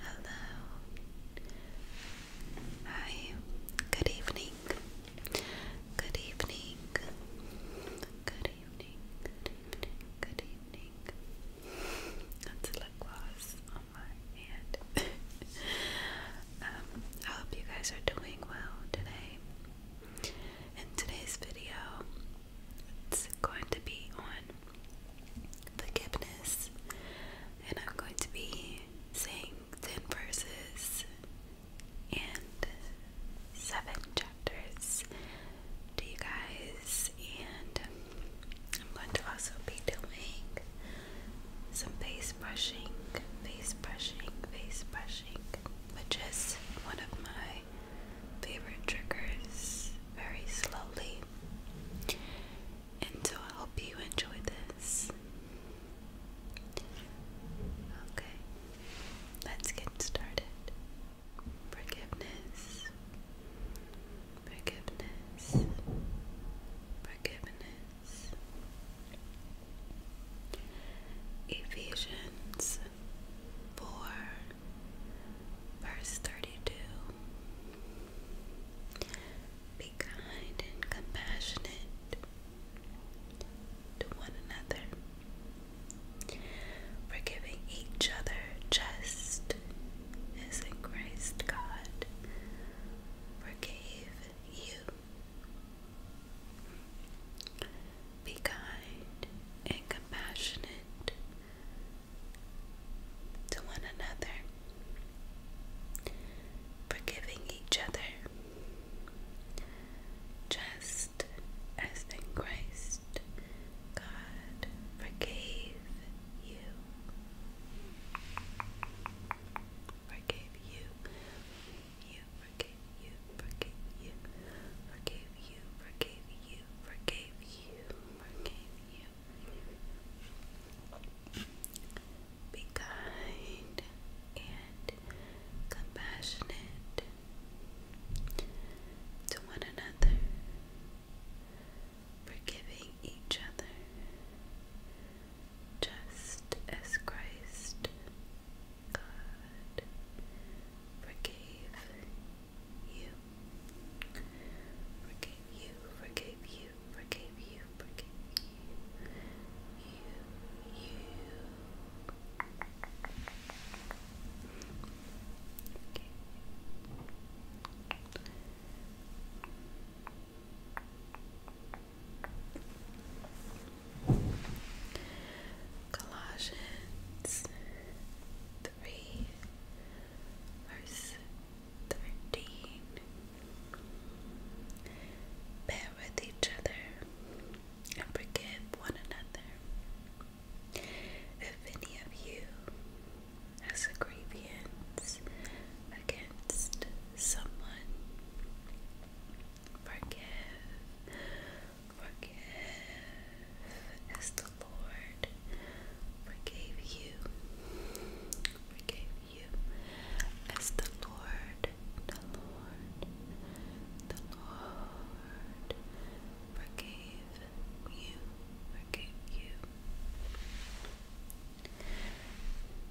Hello. Hi. Good evening. Good evening. Good evening. Good evening. Good evening. That's a lip gloss on my hand. Um, I hope you guys are doing well today. In today's video, it's going to be on forgiveness, and I'm going to be saying 10 verses and 7 chapters to you guys, and I'm going to also be doing some face brushing, face brushing, face brushing, which is one of my favorite triggers very slowly. And so I hope you enjoy this. Okay, let's get started. Forgiveness, forgiveness, forgiveness, Ephesians 4, verse 32. Be kind and compassionate to one another, forgiving each other just as in Christ God forgave you. Be kind and compassionate to one another, forgiving each other, just as in Christ God forgave you. Forgave you you, forgave you, forgave you, forgave you, forgave you, forgave you, forgave you. Be kind and compassionate to one another, forgiving each other, just as Christ God forgave you. Forgave you, forgave you, forgave you, forgave you. You, you. Colossians 3, verse 13. Bear with each other and forgive one another. If any of you has a grievance against someone. Forgive, forgive as the Lord forgave you, forgave you as the Lord, the Lord, the Lord forgave you, forgave you.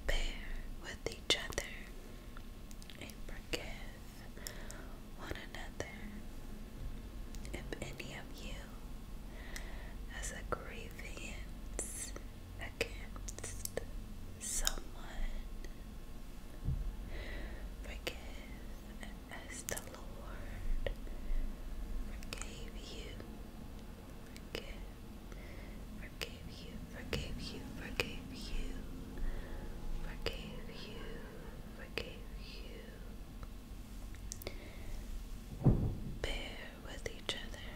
Bear with each other and forgive one another. If any of you has a grievance against someone, forgive as the Lord forgave you forgive, forgave you, forgave you, forgave you, forgave you, forgave you. Bear with each other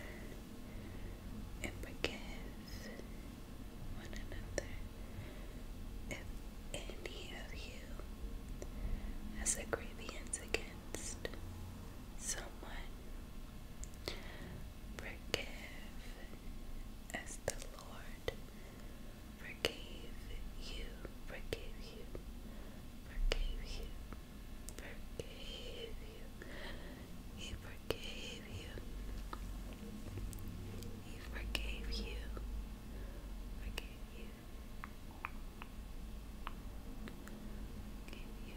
and forgive one another if any of you has a grievance against someone. Forgive as the Lord forgave you, forgave you, forgave you, forgave you. He forgave you. He forgave you. Forgave you. Forgave you.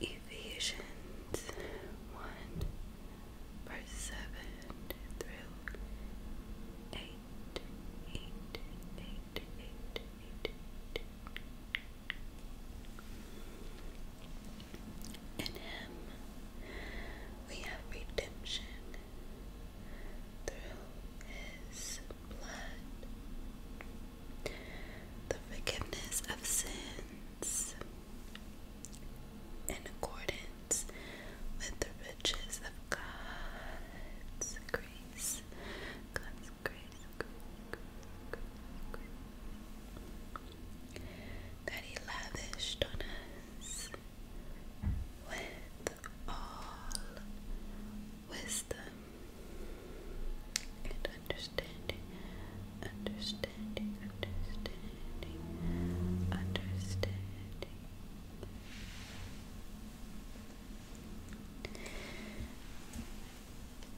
Ephesians 1 verse 7 through 8, in Him we have redemption through His blood, the forgiveness of sins in accordance with the riches of God's grace. that He lavished on us with all wisdom and understanding, understanding, understanding, understanding.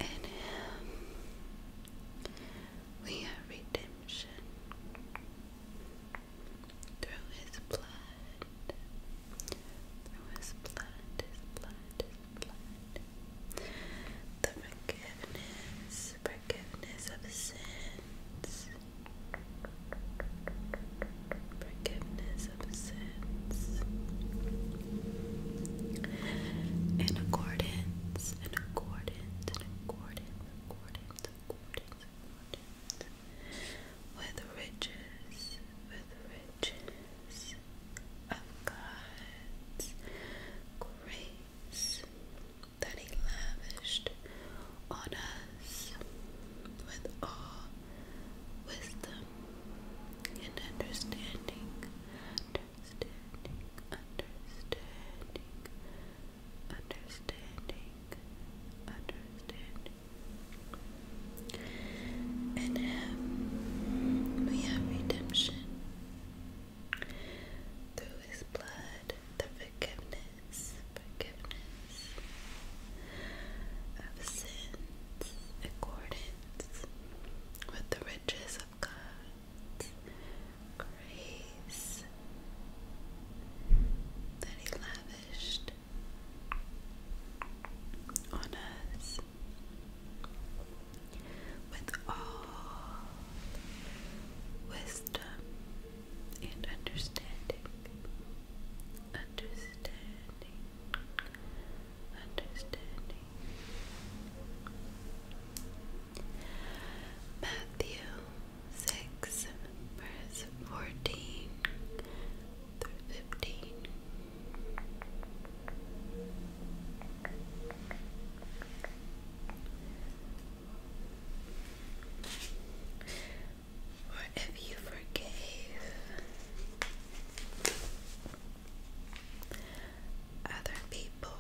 In Him we have redemption through his blood, through his blood, his blood, his blood, the forgiveness, forgiveness of sins, forgiveness of sins, in accordance, in accordance, in accordance, accordance, with the riches, with the riches of God's grace that He lavished on us with all wisdom and understanding, understanding, understanding understanding, understanding. In Him we have redemption through His blood, the forgiveness, forgiveness of sins, accordance with the riches of God grace that He lavished on us with all wisdom and understanding. Understanding, understanding. Matthew 6, verse 14 through 15. if you forgave other people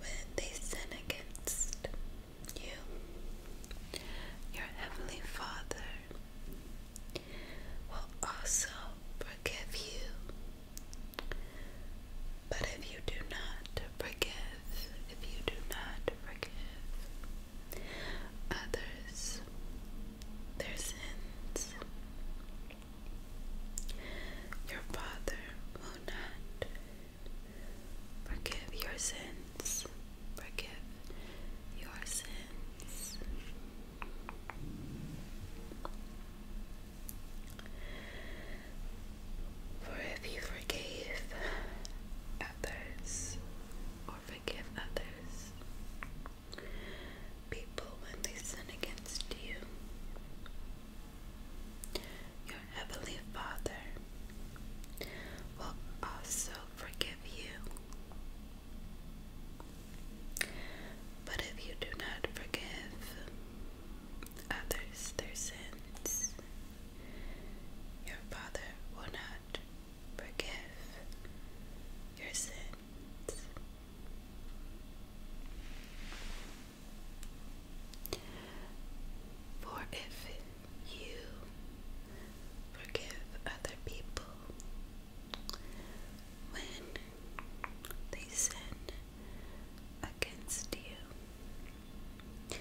when they sin against you, your Heavenly Father will also forgive you. But if you do not forgive, if you do not forgive others their sins, your Father will not forgive your sins. Forgive your sins. For if you forgave others or forgive others, people when they sin against you, your Heavenly Father will also forgive you. But if you do not forgive others their sins, your Father will not forgive your sins. For if you forgive other people when they sin against you,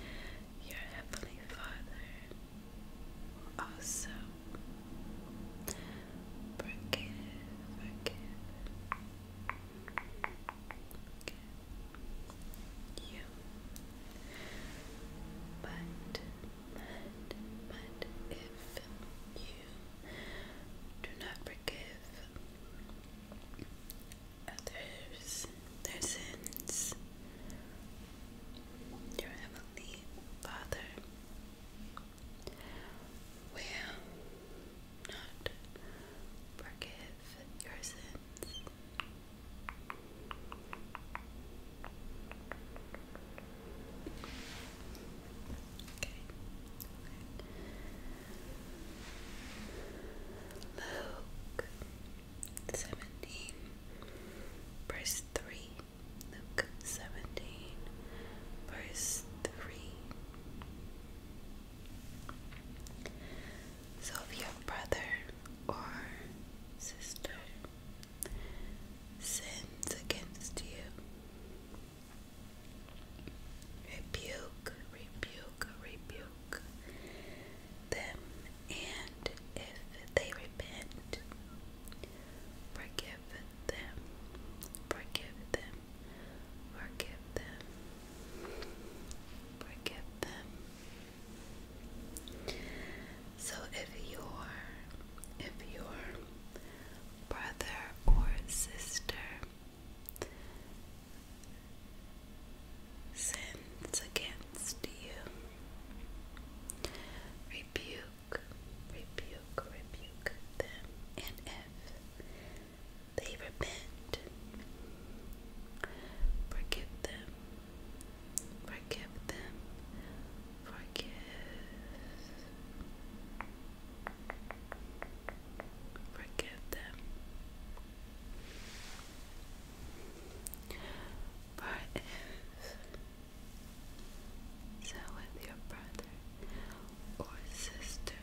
your Heavenly Father also forgive, Okay. You. But, but, but if you do not forgive others their sins, your Heavenly Father will not forgive your sins. Okay. Luke seventeen, verse three. Luke seventeen, verse three. So, your brother or sister sins against you, rebuke, rebuke, rebuke them, and if they repent, forgive them, forgive them. Forgive them. Forgive them. So if your if your brother or sister sins against you, rebuke, rebuke, rebuke them. And if they repent. Forgive them. Forgive them. Forgive. Forgive them. For if so with your brother or sister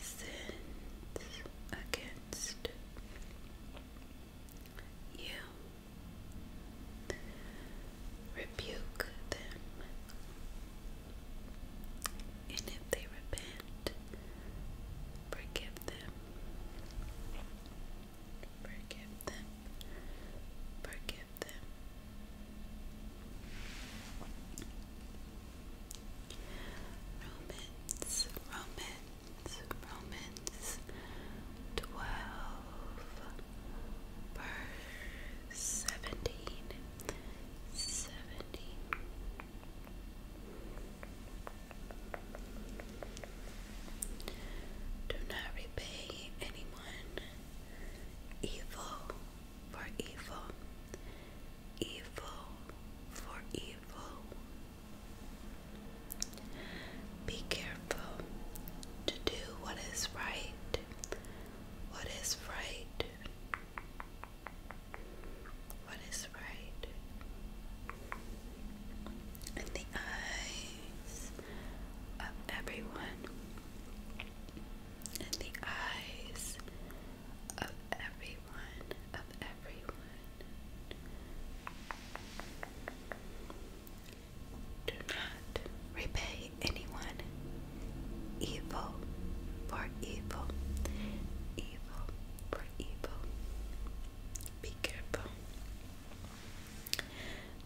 sins against you. Rebuke them, and if they repent, forgive them. Forgive them. Forgive forgive them. Romans, Romans, Romans 12, verse 17, Do not repay anyone evil for evil, evil for evil. Be careful to do what is right, what is right, what is right. In the eyes of everyone, in the eyes of everyone, of everyone. Do not repay anyone evil for evil, evil for evil. Be careful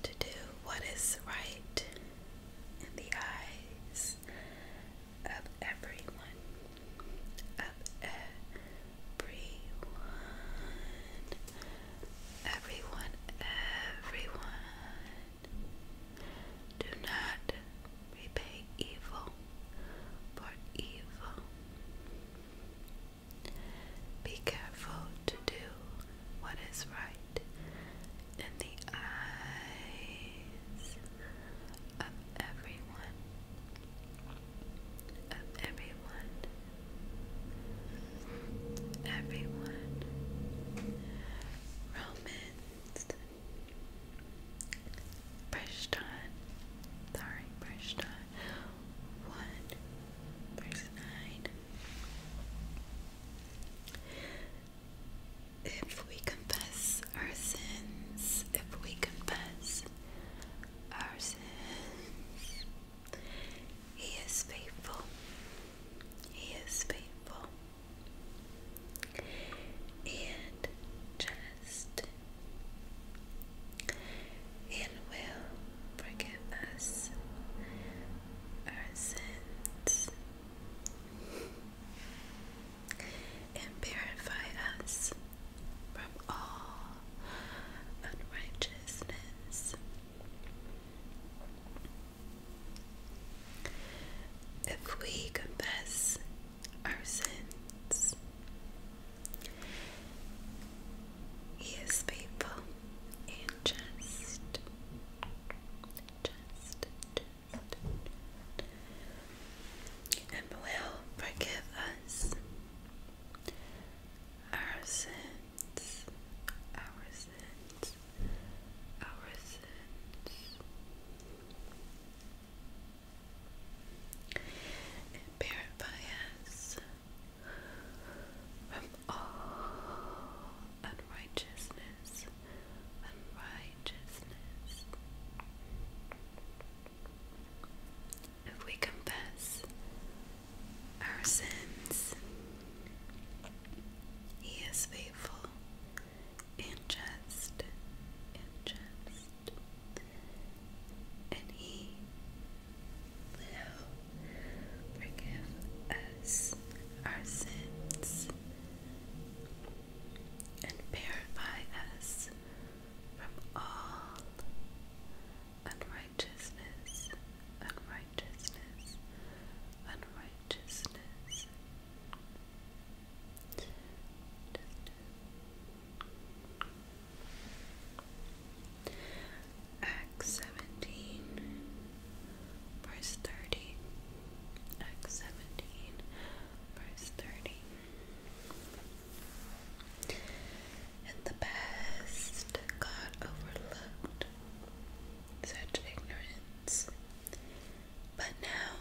to do what is right in the eyes of everyone, of everyone, everyone, everyone. Do not repay evil for evil. Be careful to do what is right in the eyes of everyone, of everyone, everyone. Romans First on, sorry, first on one verse nine if we confess our sins, if we confess our sins, He is faithful. He is faithful and just and will forgive us our sins and purify us from all unrighteousness. If we confess our sins, He is faithful and just just, and will forgive us our sins, our sins, our sins. And purify us all oh, unrighteousness, unrighteousness. If we confess our sins, He is faithful and just, and just, and He will Forgive us our sins and purify us from all unrighteousness, unrighteousness, unrighteousness. Acts 17, verse 30. Acts 17, verse 30. In the past, God overlooked such ignorance, but now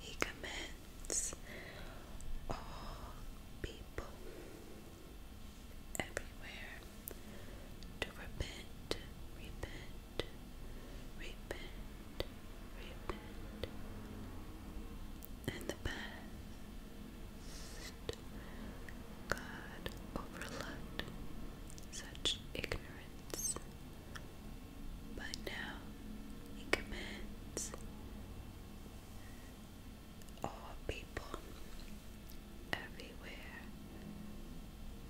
He commends all people everywhere to repent, repent, repent, repent. In the past, God overlooked such ignorance, but now He commands all people everywhere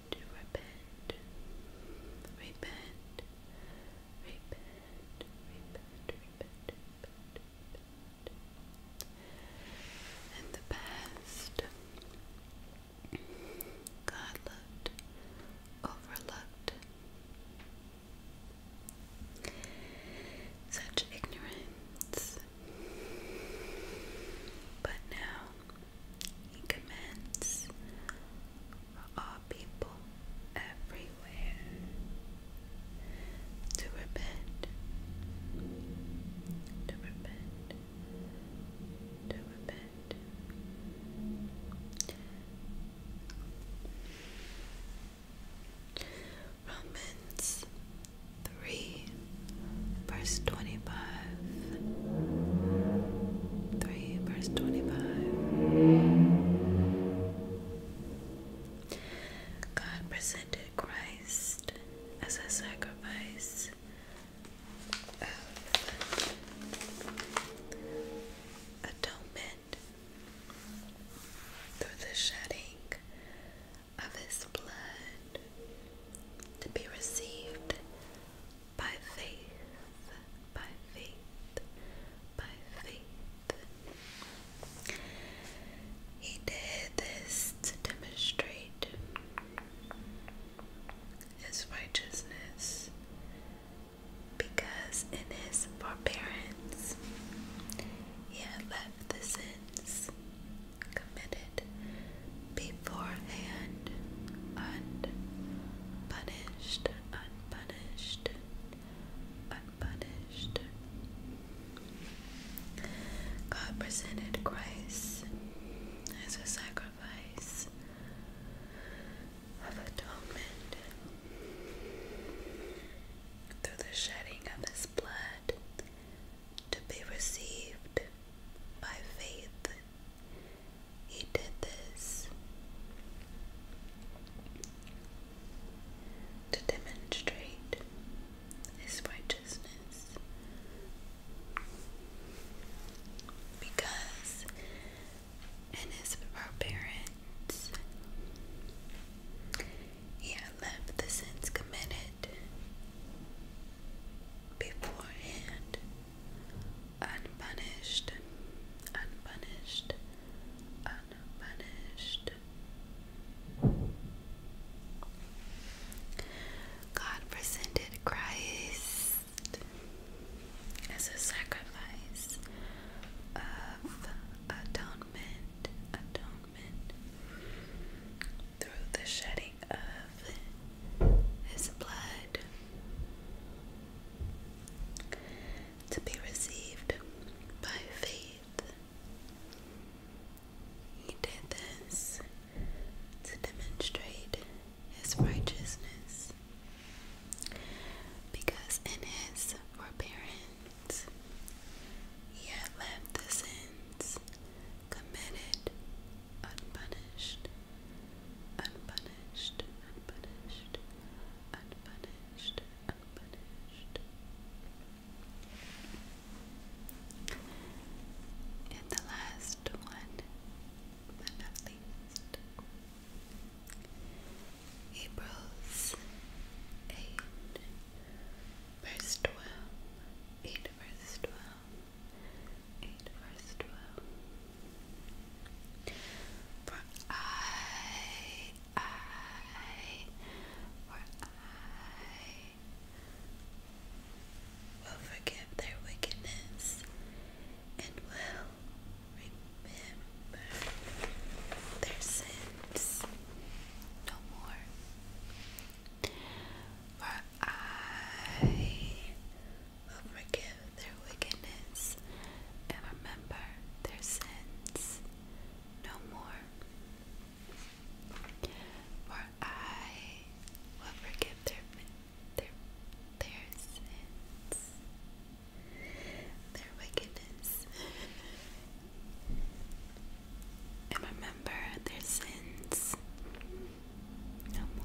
repent, repent, repent, repent, repent, repent. In the past, God looked, overlooked. Such ignorance but now he commands all people everywhere to repent, to repent, to repent. Romans 3 verse 25 3 verse 25 God presented Christ as a sacrifice of atonement through the shedding of his blood to be received by faith, by faith, by faith. He did this to demonstrate his righteousness because in his forbearance he had left the sins committed beforehand, unpunished, unpunished, unpunished. God presented Christ as a sacrifice of atonement through the shedding of his blood to be received by faith. He did this to demonstrate his righteousness because in his forbearance he left the sins committed beforehand, unpunished, unpunished, unpunished. God presented Christ as a sacrifice of atonement, atonement through the shedding of his blood to be received by faith. He did this to demonstrate his righteousness because in his forbearance he had left the sins committed unpunished, unpunished, unpunished, unpunished, unpunished. And the last one, but not least, Hebrews 8, verse 12. It eight verse twelve, eight verse twelve. For I, I, for I will forgive their wickedness and will remember their sins no more for I will forgive their wickedness and remember their sins no more. For I will forgive their their their sins, their wickedness, and remember their sins no more.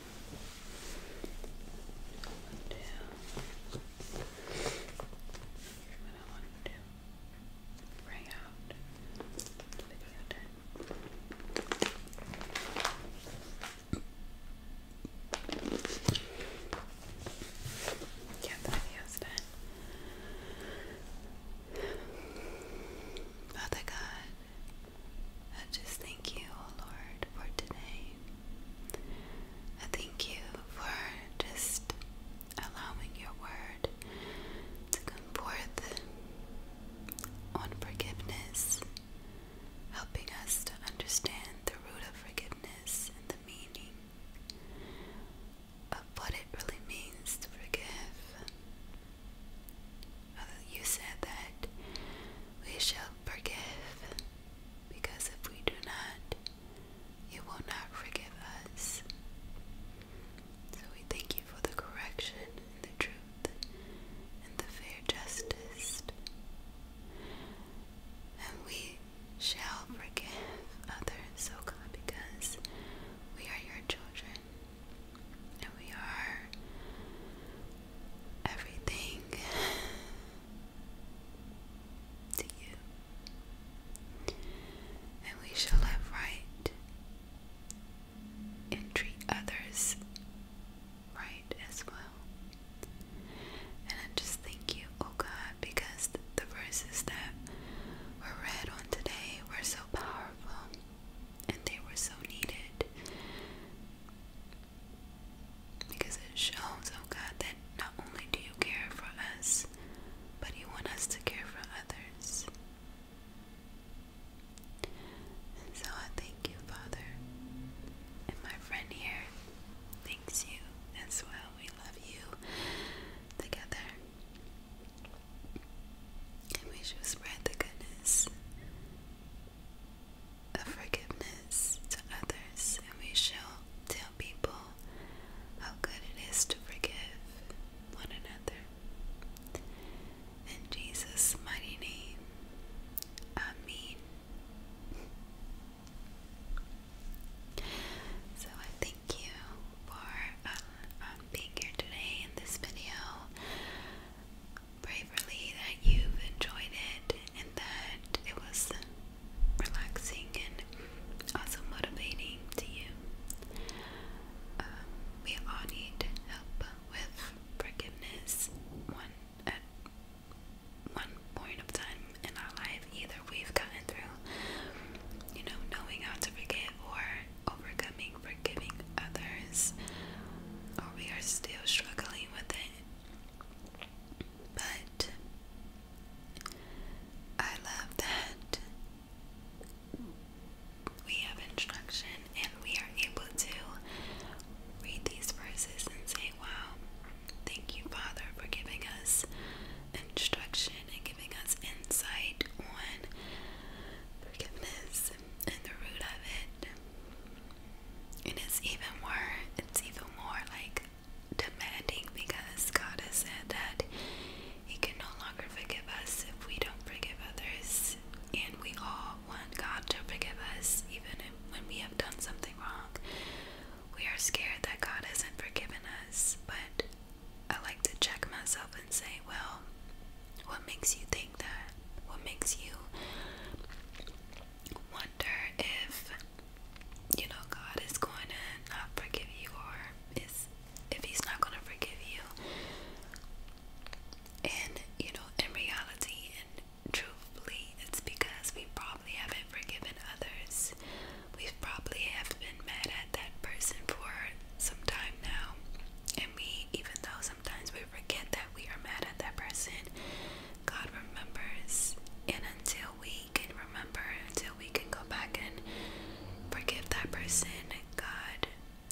One, two. What I want to do. Bring out the video tape. the video's done. Father God, I just thank you, O Lord, for today. I thank you for just allowing your word to come forth on forgiveness, helping us to understand the root of forgiveness and the meaning of what it really means to forgive. Uh, you said that we shall forgive because if we do not, it will not forgive us. So we thank you for the correction the truth and the fair justice. And we shall forgive others, O God, because we are your children and we are everything to you, and we shall have right and treat others right as well. And I just thank you, oh God, because the verses that were read on today were so powerful and they were so needed. Because it shows, oh God, that not only do you care for us, but you want us to care for others. so I thank you, Father. And my friend here thanks you as well. We love you together. And we shall spread the goodness of forgiveness to others, and we shall tell people how good it is to forgive one another. In Jesus' mighty name, Amen. So I thank you for um, um, being here today in this video braverly that you've enjoyed it and that it was relaxing and also motivating to you. Um, we all need help with forgiveness one at one point of time in our life. Either we've gotten through, you know, knowing how to forgive or overcoming forgiving others, or we are still struggling with it. But I love that we have instruction and we are able to read these verses and say, Wow, thank you, Father, for giving us instruction and giving us insight on forgiveness and the root of it. And it's even more, it's even more like demanding because God has said that He can no longer forgive us if we don't forgive others. And we all want God to forgive us even when we have done something wrong. We are scared that God hasn't forgiven us, but I like to check myself and say, well, what makes you think that what makes you wonder if you know God is going to forgive you or is if he's not going to forgive you and you know in reality and truthfully it's because we probably haven't forgiven others we probably have been mad at that person for some time now at even though sometimes we forget that we are mad at that person, God remembers. And until we can remember, until we can go back and forgive that person, God,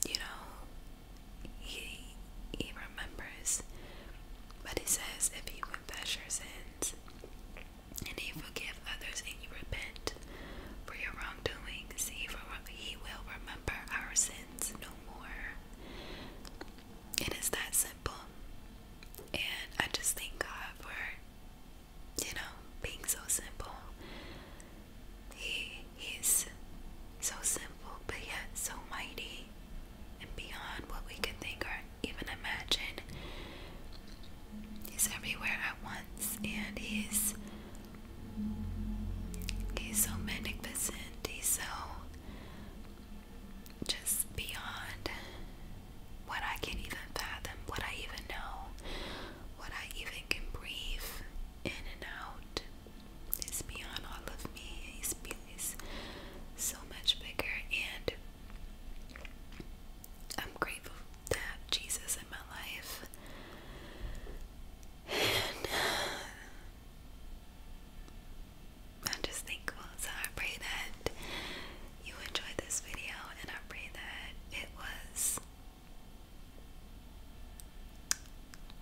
you know, He, he remembers. But He says, if you confess your sins and you forgive others and you repent for your wrongdoings, he will remember our sins no more. It is that simple. And I just thank God for, you know, being so simple. He is so simple, but yet so mighty and beyond what we can think or even imagine. He's everywhere at once, and he's he's so magnificent. He's so just beyond what I can even fathom, what I even know, what I even can breathe in and out. It's beyond all of me. It's, so much bigger, and I'm grateful to have Jesus in my life. i just thankful. So I pray that you enjoyed this video and I pray that it was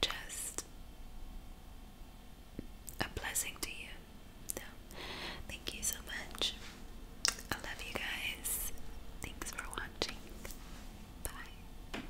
just a blessing to you. So, thank you so much. I love you guys. Thanks for watching. Bye.